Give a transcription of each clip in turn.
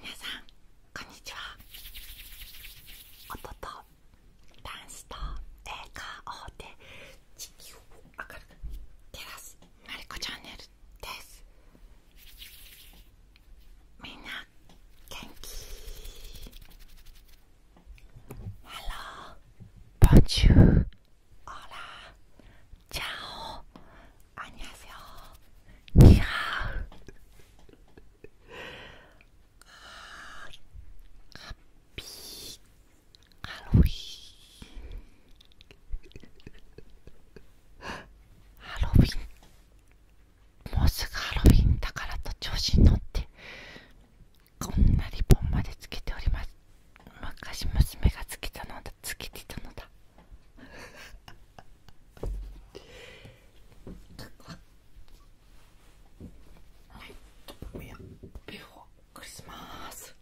皆さんこんにちは音とダンスと映画をで地球を明るく照らすのりこチャンネルですみんな元気ハローボンジューオラチャオ안녕하세 요。 あ。ハッピーハロウィン。ハロウィン。もうすぐハロウィンだからと調子に乗って。こんなリボンまでつけております。昔娘がつけたのだつけてたのだ。はいビューをクリスマス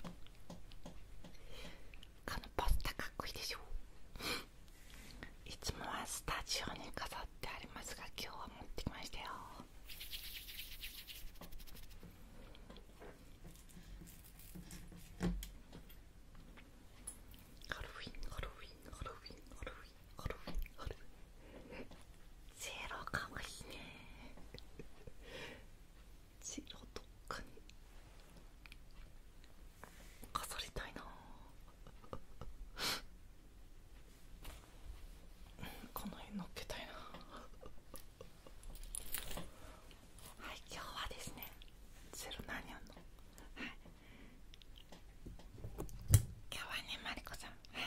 このポスターかっこいいでしょいつもはスタジオに飾ってありますが今日は持ってきましたよハロウィンハロウィンハロウィンハロウィンハロウィンハロウィンセイロかわいいねセェローどっかに飾りたいなこの辺のっけたいなはい今日はですねゼロ何やんのはい今日はねマリコさんはい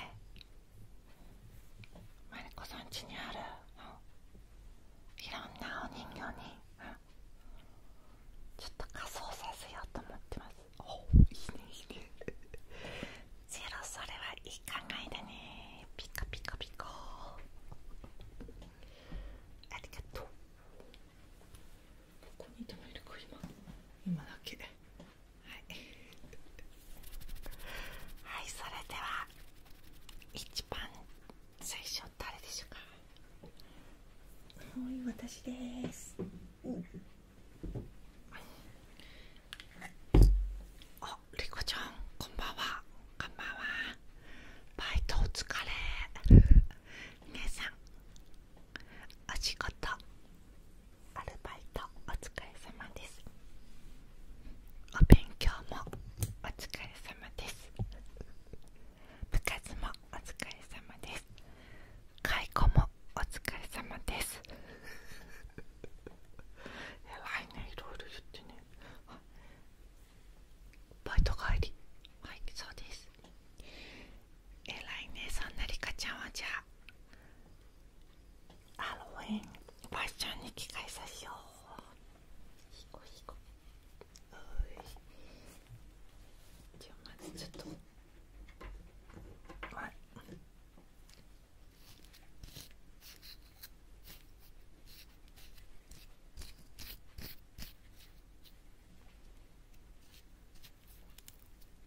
マリコさん家にあるいろんなお人形にちょっと仮装させようと思ってますおいいねいいねゼロそれはいい考えだねピカピカピカありがとうここにいてもいるか今今だけはいはいそれでは一番最初誰でしょうかはい私です、うん、あ、りこちゃんこんばんはこんばんはバイトお疲れ皆さんお仕事アルバイトお疲れ様ですお勉強もお疲れ様です部活もお疲れ様です介護もお疲れ様です 偉いねいろいろ言ってねバイト帰りはいそうですえらいねそんなりかちゃんはじゃあハロウィンファッションに着替えさせようひこひこおいじゃあまずちょっとはい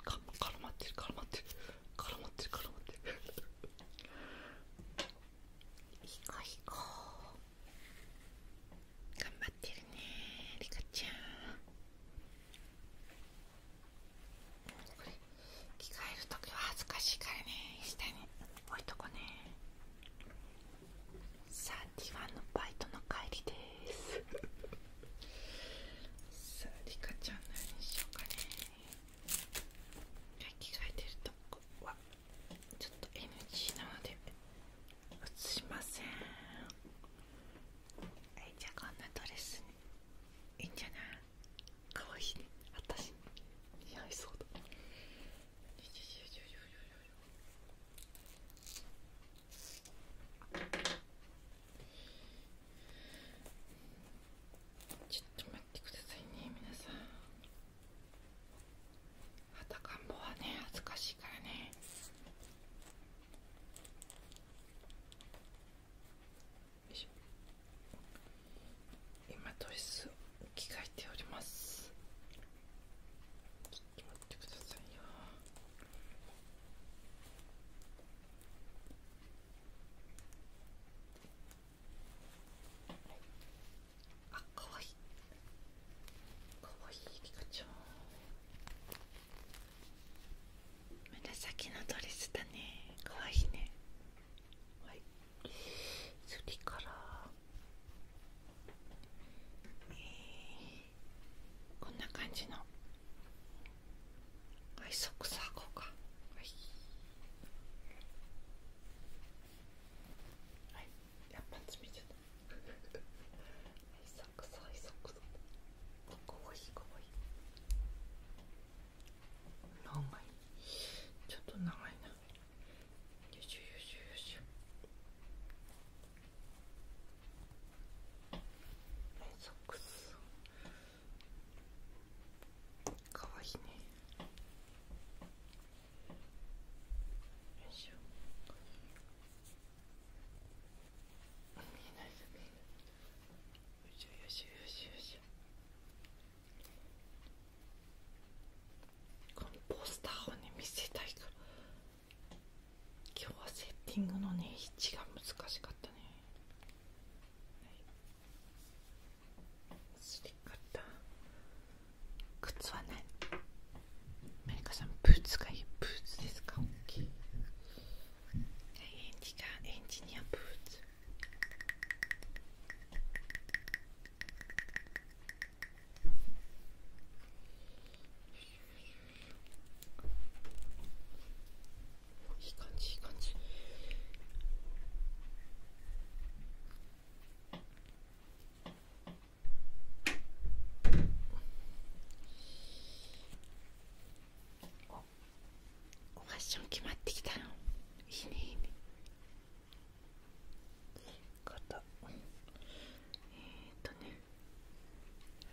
か絡まってる絡まってる絡まってる絡まってるいこ子いい頑張ってるねリカちゃんこれ着替える時は恥ずかしいからね下に置いとこうねさあ、ティワンのバイトの帰りです。さあ、リカちゃん何しようかね。着替えてるとこはちょっと NG なので映しません。はい、じゃあこんなドレスに、いいんじゃない。かわいね。私似いそうだ。ちょっと待ってくださいね皆さんはたかんぼはね恥ずかしいからねよいしょ今糖質。着替えておりますちょっと待ってくださいよあかわいいかわいいリカちゃん紫のドレスだねかわいいねはいそれからこんな感じのはいソクス履こうかやっぱ詰めちゃったちょっと長いなよしよしよしよソックスかわいいねよいしょ見えこのポスターをね見せたいから今日はセッティングのね位置が難しかったね、はい、スり方。靴はないマリカさんブーツがいいブーツですか大きい、はエンジがエンジニアブーツいい感じいい感じファッション決まってきたのいいねいいね肩えー、っとね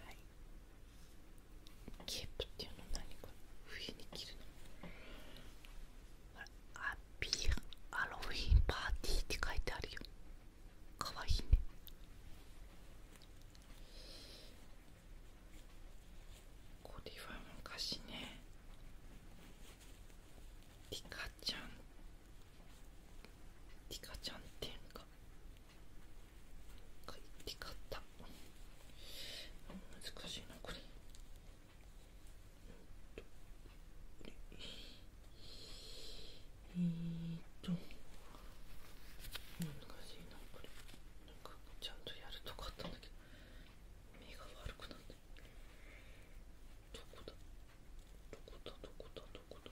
はいケープっていうの何これ冬に着るのアッピーハロフィンパーティーって書いてあるよかわいいねこれは昔ねリカちゃんリカちゃんっていうか書いてかっ難しいなこれえっと難しいなこれなんかちゃんとやるとこあったんだけど目が悪くなってどこだどこだどこだどこだ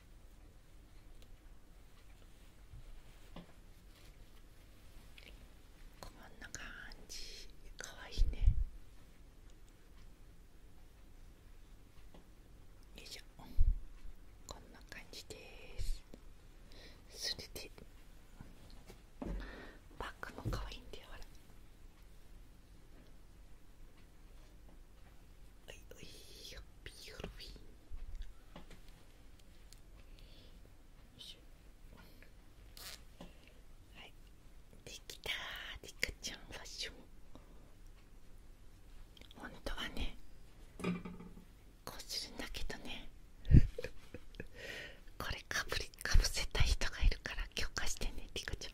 こんな感じかわいいねよいしょこんな感じですそれでバッグもかわいいんだよほらはいできたリカちゃんファッション本当はねこうするんだけどね これかぶりかぶせた人がいるから許可してねリカちゃん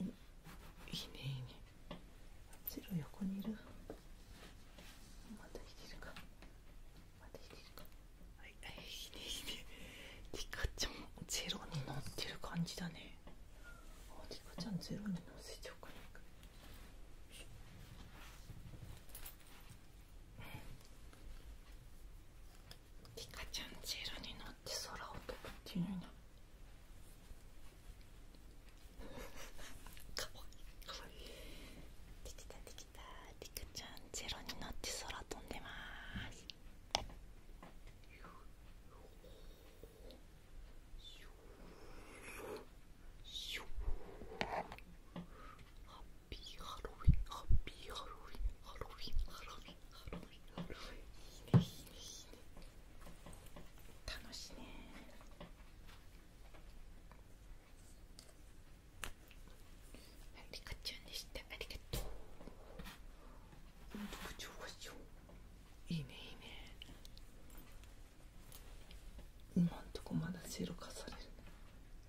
いいねいいね白横にいるまた生きてるかまた生きてるかはいはいいいねいいねリカちゃんゼロになってる感じだねあリカちゃんゼロに乗せちゃおうかなリカちゃんゼロに乗って空を飛ぶっていうなできたできたリカちゃんゼロに乗って空飛んでますハッピーハロウィンハッピーハロウィンハロウィンハロウィンいいねいいねいいね楽しねありがちゃんでしたありがとういいねいいね今んとこまだゼロ化される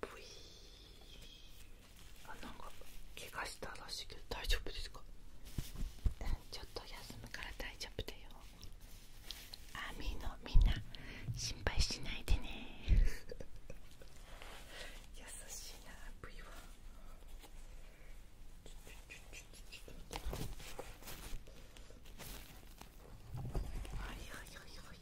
ブイーあなんか怪我したらしいけど大丈夫ですかちょっと休むから大丈夫だよあみのみんな心配しないでね優しいなブイははいはいはいはい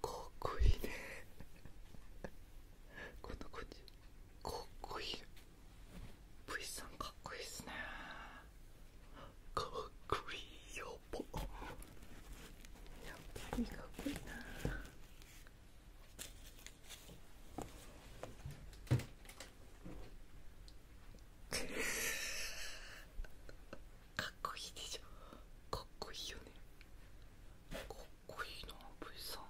かっこいいねこんな感じかっこいい V さんかっこいいっすねかっこいいよぼやっぱりかっこいいな かっこいいでしょかっこいいよねかっこいいな V さん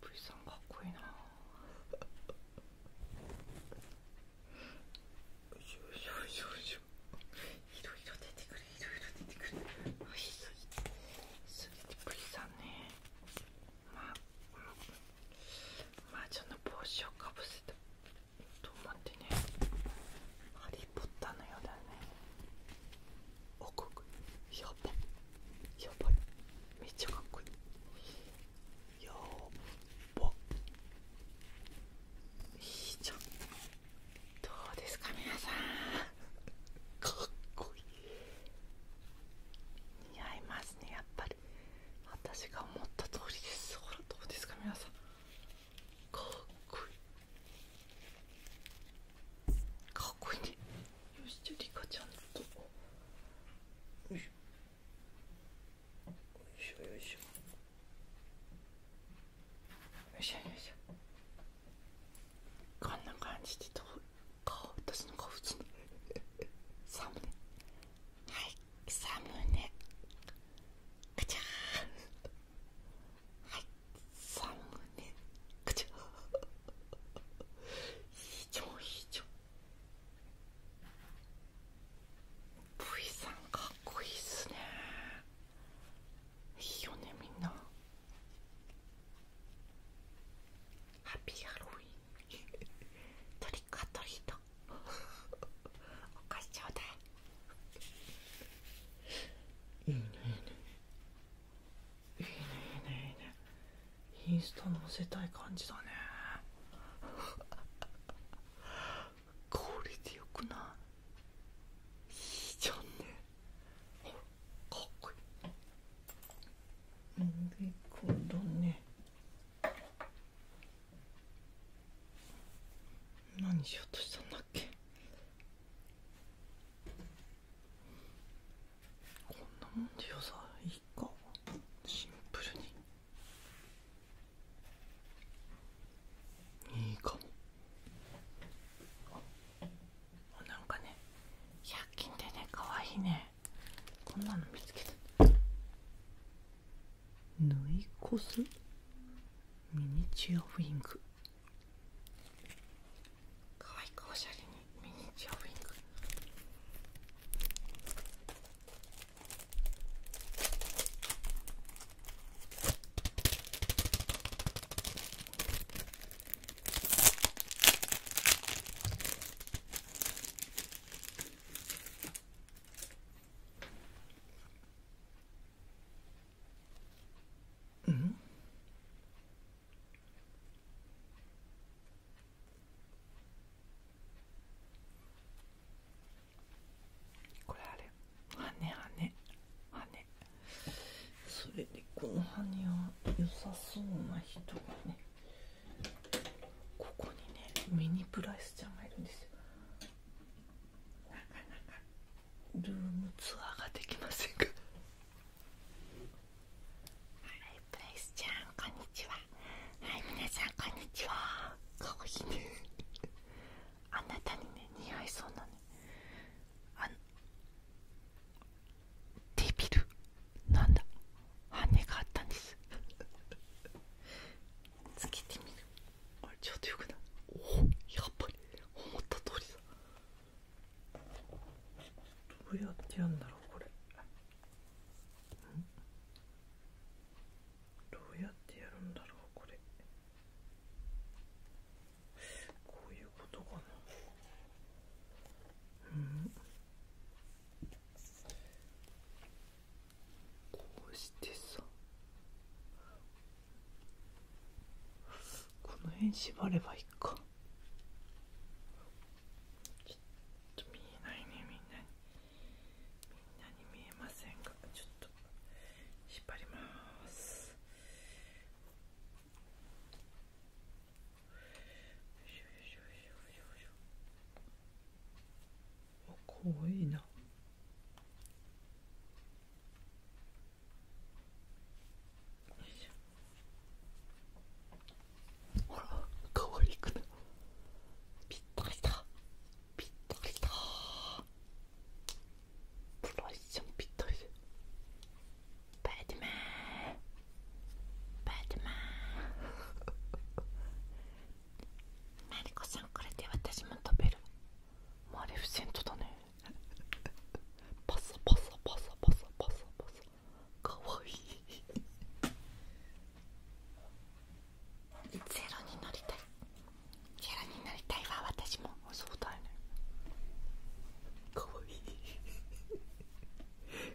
V さんかっこいいなよいしょよいしょよいしょいろいろ出てくるいろいろ出てくるおいしすぎてすぎて V さんねまあ、うん、マージャンの帽子をかぶせたと待ってね「ハリー・ポッター」のようだねおかっこいいやばいやばいめっちゃかっこいいやばいいじゃんどうですかみなさんかっこいい似合いますねやっぱり私が思った通りですほらどうですかみなさんかっこいいかっこいいねよしじゃあリカちゃんとよいしょよいしょよいしょよいしょこんな感じでどう顔私の顔普通のサムネはいサムネくちゃーはいサムネくちゃー非常非常 V さんかっこいいっすねいいよねみんなハッピーハロウィンとリックアトリートお菓子ちょうだいいいねいいねいいねいいねインスタ載せたい感じだねこれでよくないいいじゃんねかっこいいこれだね何しようとしたんだっけこんなもんでよさいいかシンプルにいいかもあなんかね百均でねかわいいねこんなの見つけた縫いこすミニチュアウィングかわいくおしゃれにミニチュアウィングうんこれあれ羽羽羽それでこの羽は良さそうな人がねここにねミニプライスちゃんがいるんですよなかなか。ルームツアーができませんかはいプレイスちゃんこんにちははい皆さんこんにちはかわいいねあなたにね似合いそうなねあのデビルなんだ羽があったんですつけてみるあれちょっとよくないおおやっぱり思った通りだどうやってやるんだろうこれどうやってやるんだろうこれこういうことかなうんこうしてさこの辺縛ればいいかちょっと見えないねみんなにみんなに見えませんがちょっと縛りますよいしょよいしょよいしょよいしょ怖いな。くぴったりだ。ぴったりだ。プロイちゃんぴったりで。ーティマン。バーティマン。マリコさんこれで私も食べるもうあれ不戦トだねパソパソパソパソパサパサかわいいゼロになりたいゼロになりたいわ私もそうだよねかわいい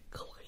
かわいい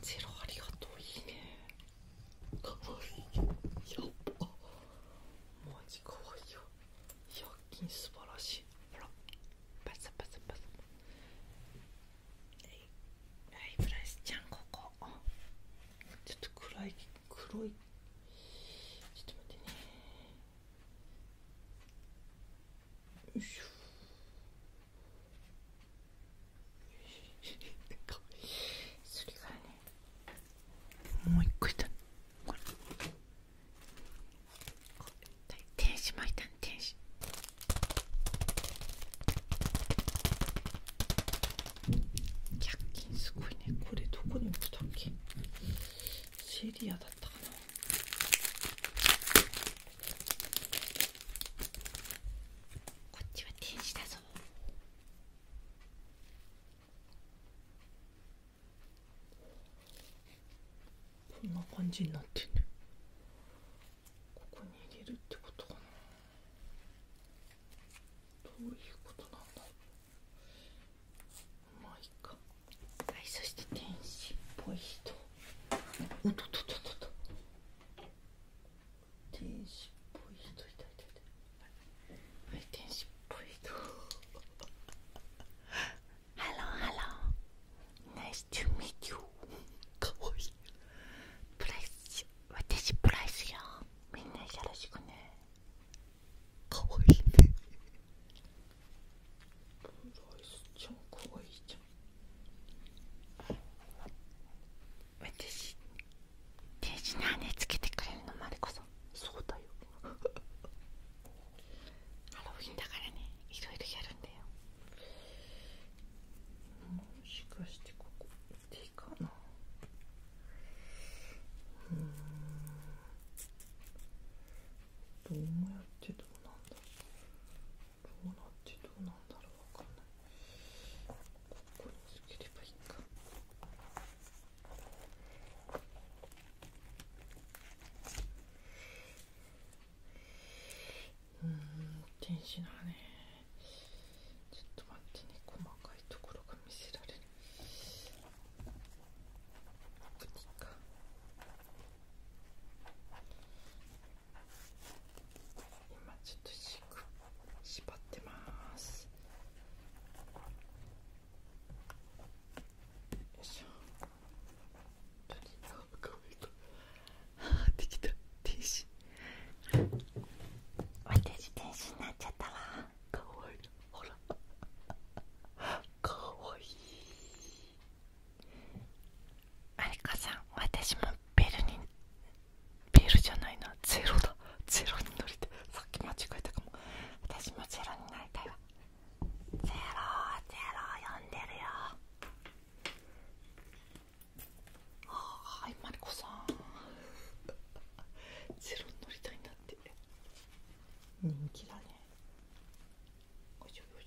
ジロありがとういいねかわいいやっぱマジかわいいよ100均素晴らしいほらパサパサパサえ、いはいブラスちゃんここちょっと暗い黒いちょっと待ってねよいしょそれかねもう一個いたこれ天使巻いた天使1均すごいねこれどこに置くとっけセリアだったかなこっちは天使だぞこんな感じになってるここに入れるってことかなどういうことなんだろうまあいかはいそして天使っぽい人おっとっとっとっと天使っぽい人いたいたいた天使っぽい人 Hello Nice to meet you かわいいプライス私プライスよみんなよろしくねかわいいねプライスちゃんかわいいじ私手品につけてくれるのまリコさそうだよハロウィンだからねいろいろやるんだよもしかしてここ手かなうんどうやってどうなんだローラってどうなんだろうわかんないここにつければいいかうん天使なねちょっと待ってね細かいところが見せられるいいか今ちょっとしく縛ってますよいしょとあできた天使私天使になっちゃったわかわいいほらかわいいありかさん私もベルにベルじゃないなゼロだゼロに乗りてさっき間違えたかも私もゼロになりたいわゼロゼロ呼んでるよはーいマリコさん ゼロに乗りたいんだって人気だねよいしょよい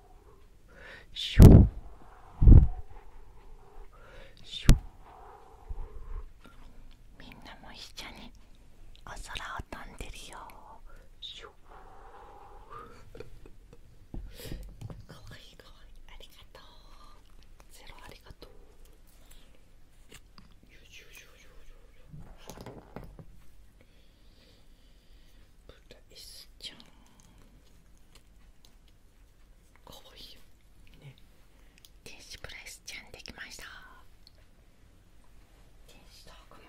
シュシュみんなもいっ一緒にお空を飛んでるよシュかわいいかわいいありがとうゼロありがとうブライスちゃんかわいいよね天使プレスちゃんできました天使どうかも。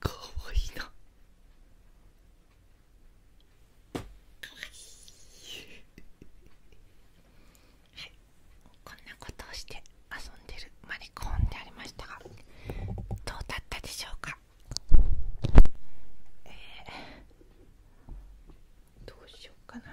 かわいいなはいこんなことをして遊んでるマリコンでありましたがどうだったでしょうかえー、どうしようかな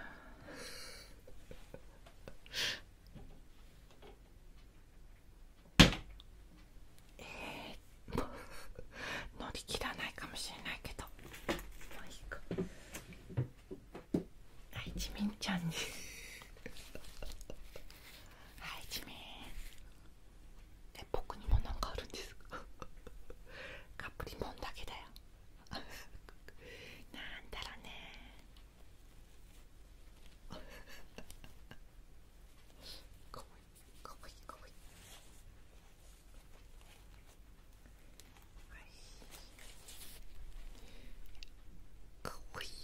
えー、も う乗り切らないかもしれないけどまあいいかはいちみんちゃんにはいじめえ僕にもなんかあるんですかカプリモンだけだよ なんだろうね かわいいかわいいかわいいかわいい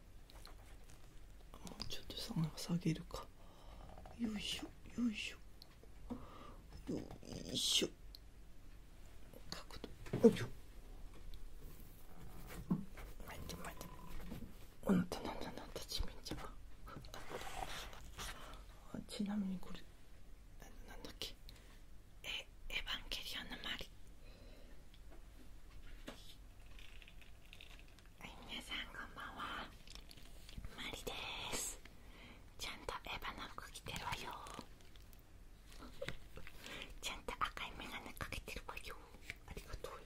もうちょっとさ下げるかよいしょよいしょよいしょ角度よいしょ待って待ってあなたなんだなんだ地面じゃちなみにこれなんだっけエエヴァンゲリオンのマリはい、皆さんこんばんはマリですちゃんとエヴァの服着てるわよちゃんと赤い眼鏡かけてるわよありがとうよ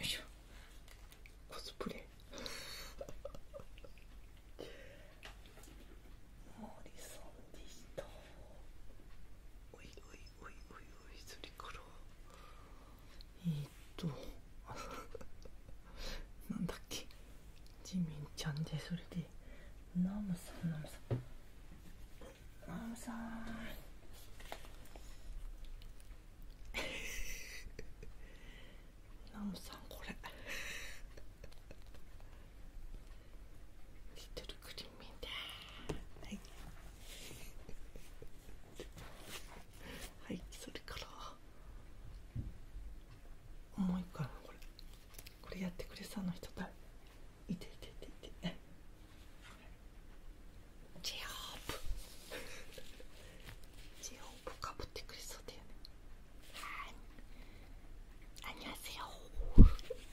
いしょコスプレもう理想おおいおいおいおいそれからえっとなんだっけジミンちゃんでそれでナムさんナムさんナムさんこれリトルクリーミーだはいそれから重いかなこれこれやってくれさうな人だいていていていェジオープジオープかぶってくれそうだよねはいありますよ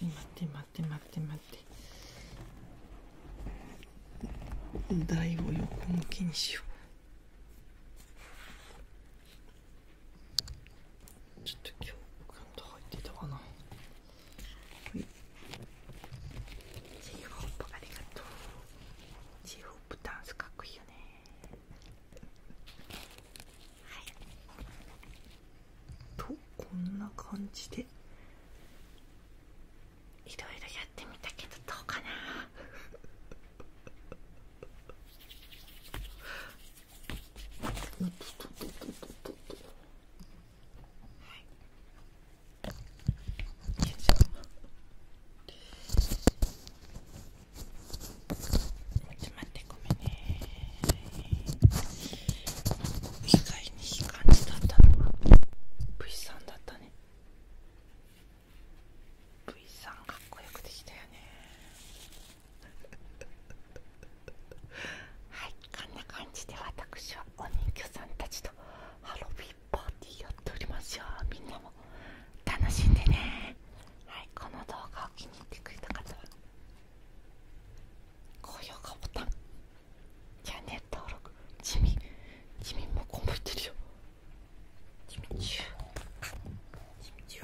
待って待って待って待って台を横向きにしようちょっと今日ガンと入ってたかなはいチーフホップありがとうチーフホップダンスかっこいいよねはいとこんな感じでいろいろやってみたけどどうかなとととととはいよいしょちょっと待ってごめんね意外にいい感じだったのは V さんだったね V さんかっこよくできたよね はいこんな感じで私はお人形さんたちとハロウィンパーティーやっておりますよみんなも楽しんでねはいこの動画を気に入ってくれた方は高評価ボタンチャンネル登録地味地味もこもいてるよ地味中地味中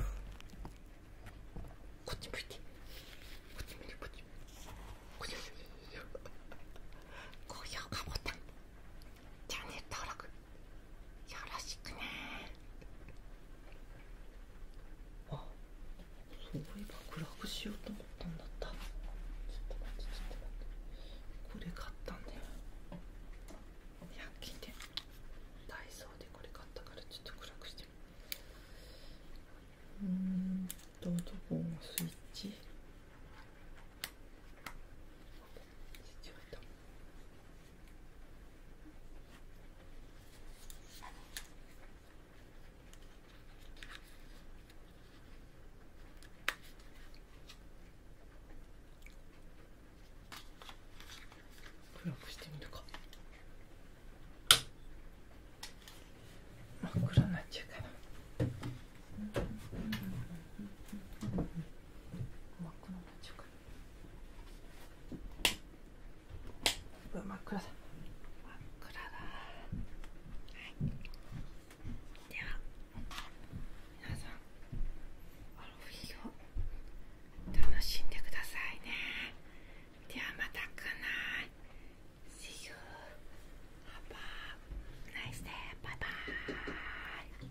こっち向いてこっち向いてこっち向いて高評価ボタンチャンネル登録よろしくねあそういえば暗くしようと思ったんだったちょっと待ってちょっと待ってこれ買ったんだよ100均でダイソーでこれ買ったからちょっと暗くしてうんとどこのスイッチスイッチ置いた暗くしてみるか真っ暗になっちゃうかな真っ暗になっちゃうかうわ真っ暗だ真っ暗だ、はい、では皆さんアロフ楽しんでくださいねではまた来ない。See you Have a nice day b イ e b